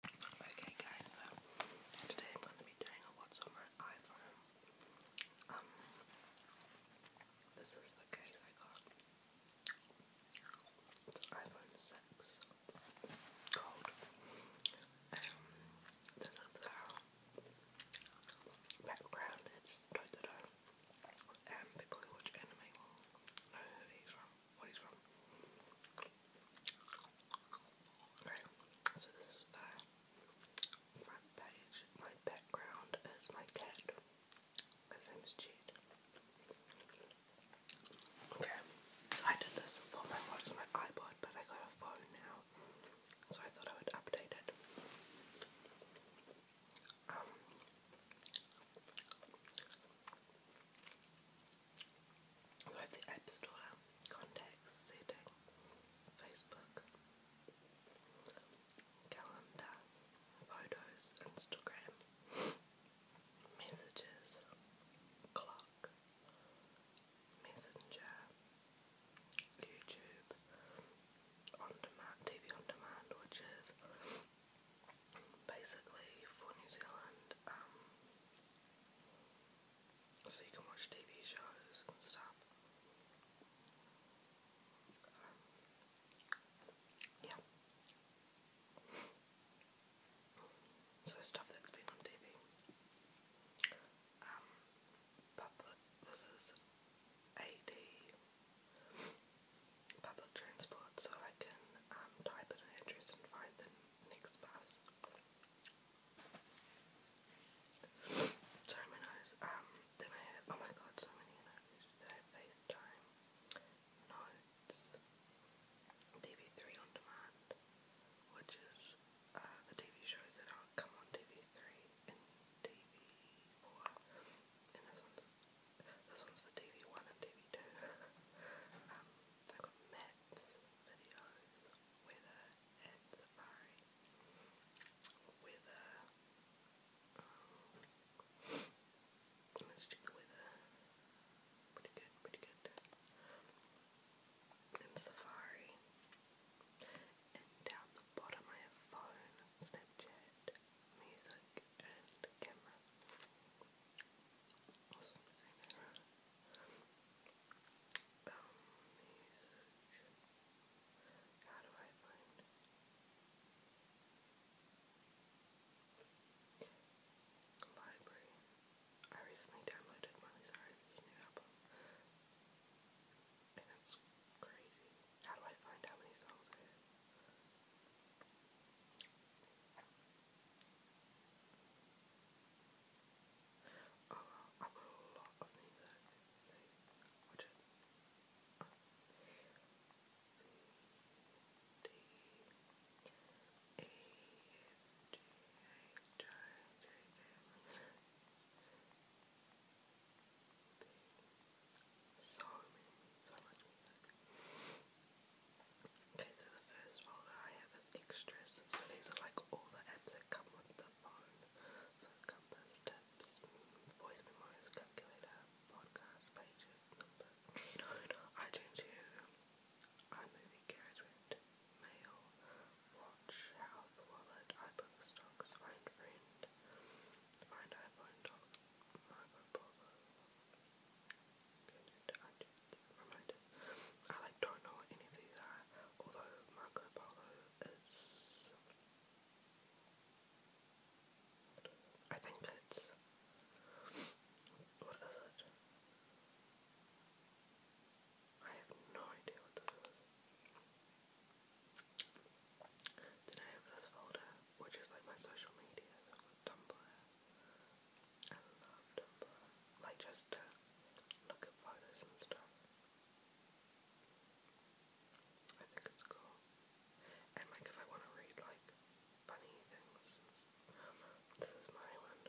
Okay guys, so today I'm going to be doing a what's on my iPhone. Um, this is the case I got. It's iPhone 6. Cold. Um, this is the background. It's Totoro. Um, people who watch anime know who he's from what he's so this is the front page. My background is my cat. His name's Jade. Okay, so I did this for my watch my iPod, but I got a phone now, so I thought I would update it. Um, App Store, Contacts, Setting, Facebook, Calendar, Photos, Instagram, Messages, Clock, Messenger, YouTube, On Demand, TV On Demand, which is basically for New Zealand. Um, so you can watch TV shows and stuff. Um, yeah. so stuff that's been on TV. Um, public, this AD public transport, so I can um, type an address and find the Mixed pass. Sorry, my nose. Um, then I oh my god, so many interviews today. FaceTime, Notes, TV3 on demand, which is uh, the TV shows that are coming on TV3 and TV4, and this one's this one's for TV1 and TV2. I've got maps, videos, weather and safari, um, weather, pretty good, pretty good, and safari, and down the bottom I have phone, Snapchat, music and camera. Um, music. How do I find? Library. I recently downloaded Miley Cyrus's new album. And that's crazy. How do I find how many songs I have? Oh, I've got a lot of music, so watch it. Oh. C, D, E, G, H, I, J, J, so many, so much music. Okay, so the first folder I have is extras. So these are like all the apps that come with the phone. compass, tips, voice memos, calculator, podcast pages, number, iTunes U, iMovie, GarageBand, mail, watch, health, wallet, iBook, stocks, find friend, find iPhone, talk, mobile, Crimson Argent, I like don't know what any of these are, although Marco Polo is I think it's what is it? I have no idea what this is. Then I have this folder, which is like my social media, Tumblr, I love uh, Like just uh, look at photos and stuff. I think it's cool. And like if I want to read like funny things. This is my one.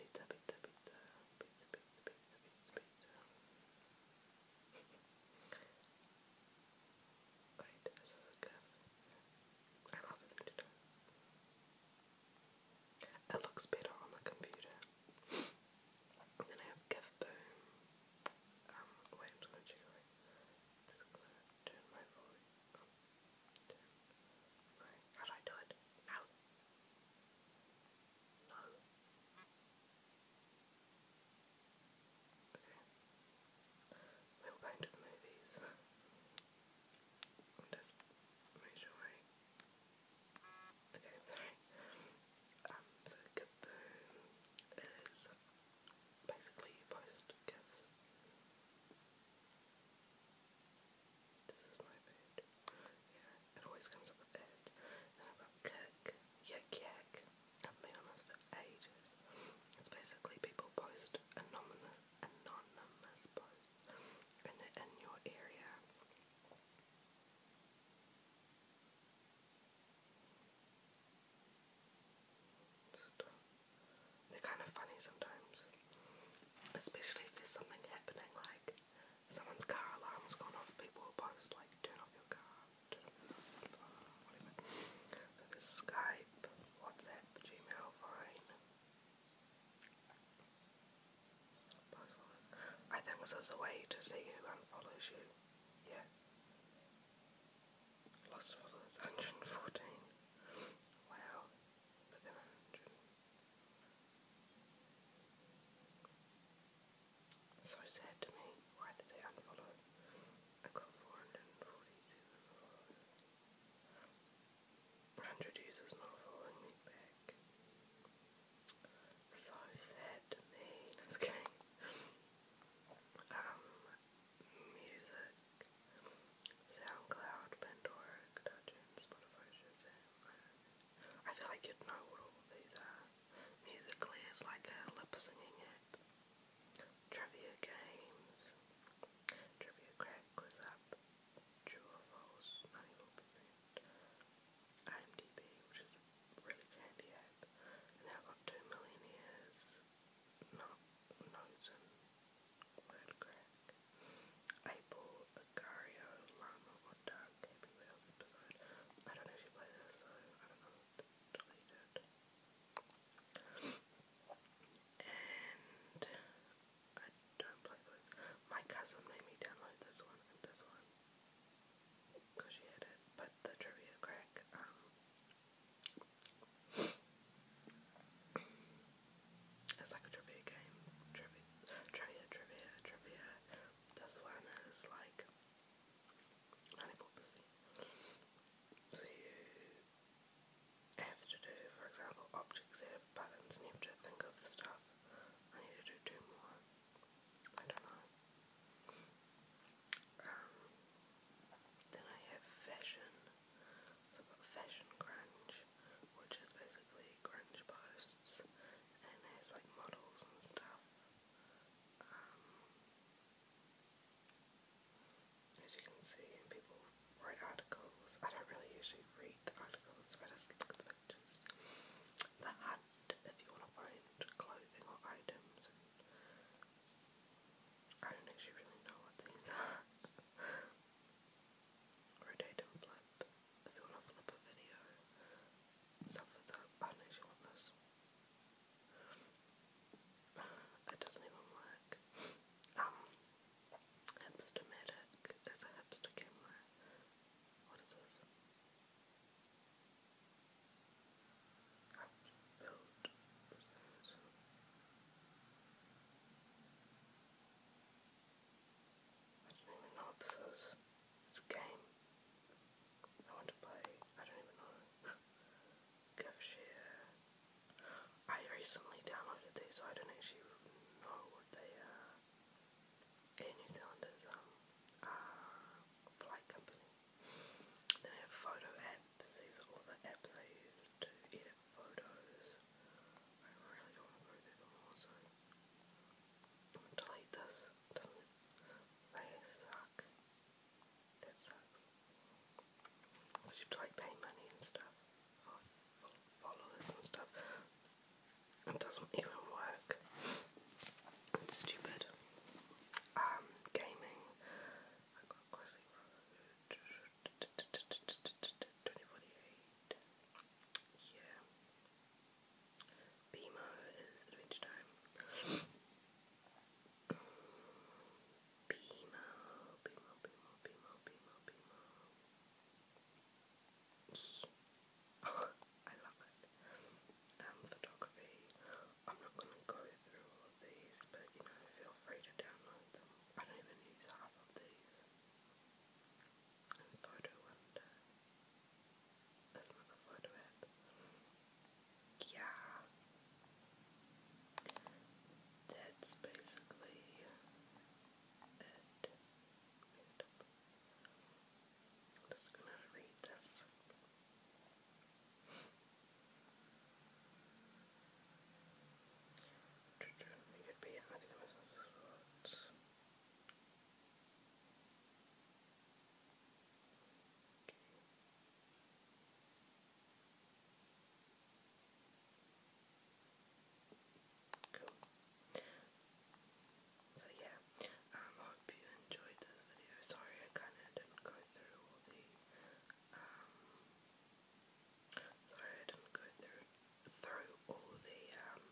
Pizza, pizza, pizza. Pizza, pizza, pizza, pizza, pizza. this is a I love it. It looks better on the computer. then I have Gifboom. Um, wait, i turn my volume how do I do it? Now? we were going to the movies. and just made Okay, sorry. Um, so Kaboom is basically you post gifts. This is my food. Yeah, it always comes up with that. Then I've Yak Yak. I've been on this for ages. It's basically people post anonymous anonymous posts and they're in your area. They're kind of funny sometimes. Especially if there's something happening, like someone's car alarm's gone off, people will post, like, turn off your car, So there's Skype, WhatsApp, Gmail, Vine. I think this is a way to see who unfollows you. Yeah. Lost followers, 114. Wow. So sad to me. Why did they unfollow? I got 447 followers. Hundred users not following me back. So sad um, music, SoundCloud, Pandora, iTunes, Spotify, I feel like you'd know what all these are. Musically, it's like a lip singing app. Trivia games. Trivia crack was up. True or false, 94%. IMDb, which is really handy app. And i got two millionaires. Not Nozen. Word crack. April, Agario, Llama, or Dark. Happy Wheels episode. I don't actually play this, so I don't know. It's deleted. And I don't play those. My cousin made me download this one this one because she had it. But the trivia crack, um, it's like a trivia game. Trivia, trivia, trivia, trivia. This one is like. 94%. So I have to do, for example, objects that have buttons and you have to think of the stuff. I need to do two more. I don't know. Um, then I have fashion. So I've got fashion grunge, which is basically grunge posts and has like models and stuff. Um, as you can see, and people write articles. I don't really usually read the articles, I just look at the pictures. The hunt, if you want to find clothing or items, I don't actually really know what these are. Rotate and flip, if you want to flip a video. Stuff up, I don't actually want this. It doesn't even work. Um, Hipstermatic is a hipster camera. What is this? I don't even know what this is. It's a game. I want to play. I don't even know. Give I recently downloaded these, so I don't actually know what they are. Air New Zealanders um, are a flight company. They have photo apps. These are all the apps I use to edit photos. I really don't want to go through them all, so I'm gonna delete this. Doesn't they suck? That sucks. you have to like money and stuff followers and stuff. It doesn't even work. stupid. Um, gaming. Yeah. BMO is Adventure Time. Beemo, Beemo, Beemo, Beemo, Beemo, Beemo. Oh, I love it. Um, photography. I'm not going to go through all of these, but you know, feel free to download them. I don't even use half of these. And photo and uh, that's not the photo app. Yeah, that's basically it. just gonna read this. Okay. Cool. So yeah, um, I hope you enjoyed this video. Sorry I kinda didn't go through all the um, sorry I didn't go through through all the um,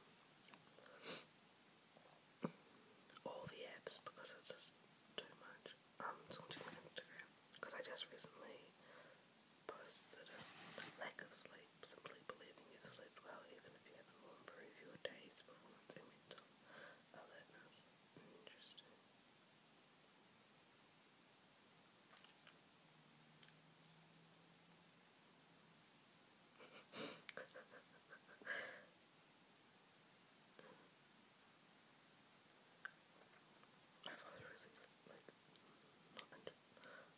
all the apps because it's just too much um to my Instagram because I just recently posted a lack of sleep, simply believing you've slept well even if you haven't will improve your day's performance and mental alertness. Interesting. I find it really like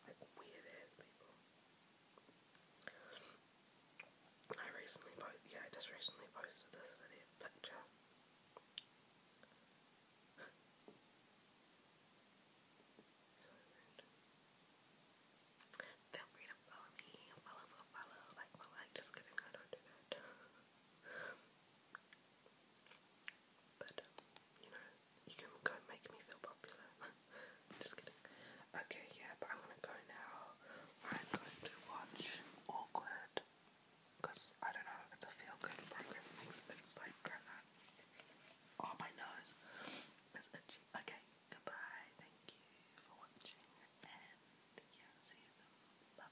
like weird ass people. I recently posted, yeah, I just recently posted this video picture. Feel free to follow me, follow, follow, follow, like, like, just kidding, I don't do that. But, um, you know, you can go make me feel popular. Just kidding. Okay, yeah, but I'm gonna go now. I'm going to watch Awkward. Because, I don't know, it's a feel good program. It's, like, Oh, my nose. Okay, goodbye. Thank you for watching. And, yeah, see you soon. bye.